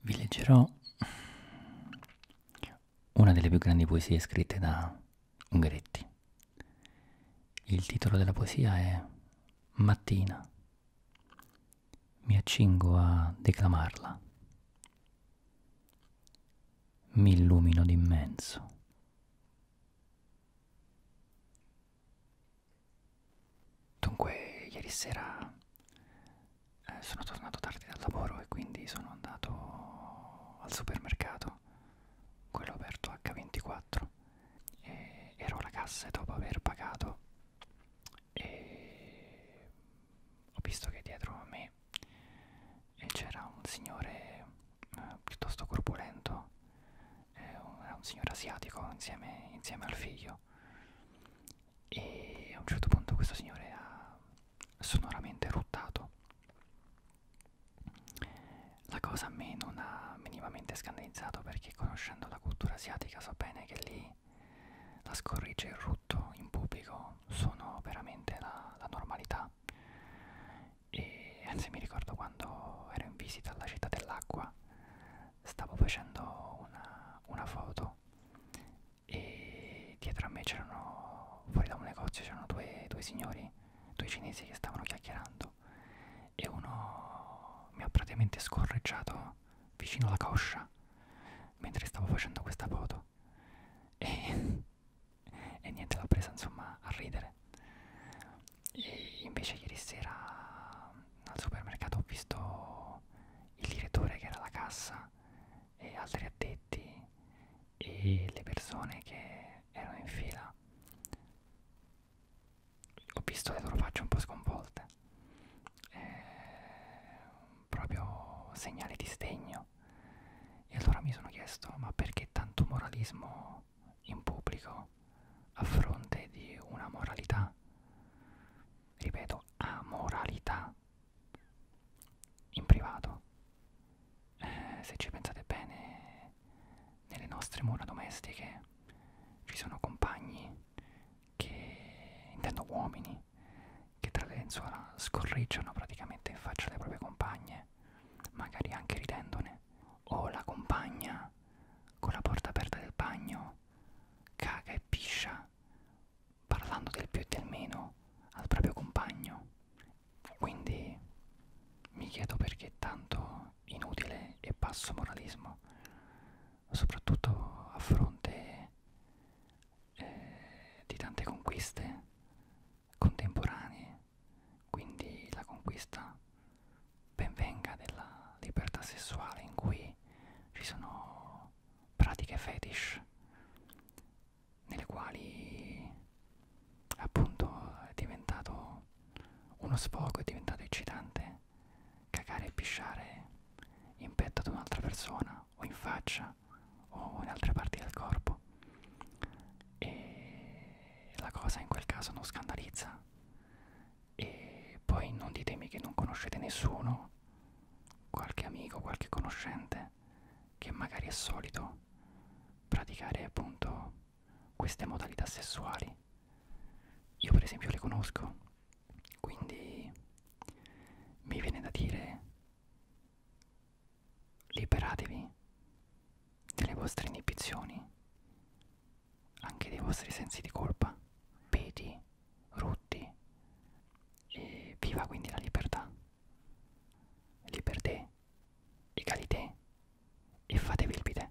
Vi leggerò una delle più grandi poesie scritte da Ungaretti. Il titolo della poesia è Mattina. Mi accingo a declamarla. Mi illumino d'immenso. Dunque, ieri sera eh, sono tornato tardi dal lavoro e quindi sono andato al supermercato, quello aperto H24, e ero alla cassa e dopo aver pagato e ho visto che dietro a me eh, c'era un signore eh, piuttosto corpulento è un, è un signore asiatico insieme, insieme al figlio e a un certo punto questo signore ha sonoramente ruttato la cosa a me non ha minimamente scandalizzato perché conoscendo la cultura asiatica so bene che lì la scorrigia e il rutto in pubblico sono veramente la, la normalità e anzi mi ricordo quando ero in visita alla città dell'acqua stavo facendo una, una foto e dietro a me c'erano fuori da un negozio c'erano due, due signori due cinesi che stavano chiacchierando e uno mi ha praticamente scorreggiato vicino alla coscia mentre stavo facendo questa foto e e niente l'ha presa insomma a ridere e invece ieri sera mm, al supermercato ho visto il direttore che era alla cassa e altri addetti e mm. le persone che erano in fila ho visto le loro facce un po' sconvolte eh, proprio segnali di sdegno no? E allora mi sono chiesto, ma perché tanto moralismo in pubblico a fronte di una moralità? Ripeto, amoralità in privato. Eh, se ci pensate bene, nelle nostre mura domestiche ci sono compagni che, intendo uomini, che tra le lenzuola scorreggiano praticamente in faccia alle proprie compagne, magari anche ridendone, o la compagna con la porta aperta del bagno caga e piscia parlando del più e del meno al proprio compagno. Quindi mi chiedo perché tanto inutile e basso moralismo, soprattutto a fronte eh, di tante conquiste contemporanee, quindi la conquista benvenga della libertà sessuale in cui ci sono pratiche fetish nelle quali appunto è diventato uno sfogo, è diventato eccitante cagare e pisciare in petto ad un'altra persona o in faccia o in altre parti del corpo e la cosa in quel caso non scandalizza e poi non ditemi che non conoscete nessuno qualche amico qualche conoscente che magari è solito praticare appunto queste modalità sessuali io per esempio le conosco quindi mi viene da dire liberatevi delle vostre inibizioni anche dei vostri sensi di colpa peti rotti e viva quindi la libertà liberté egalité e fatevi il bidè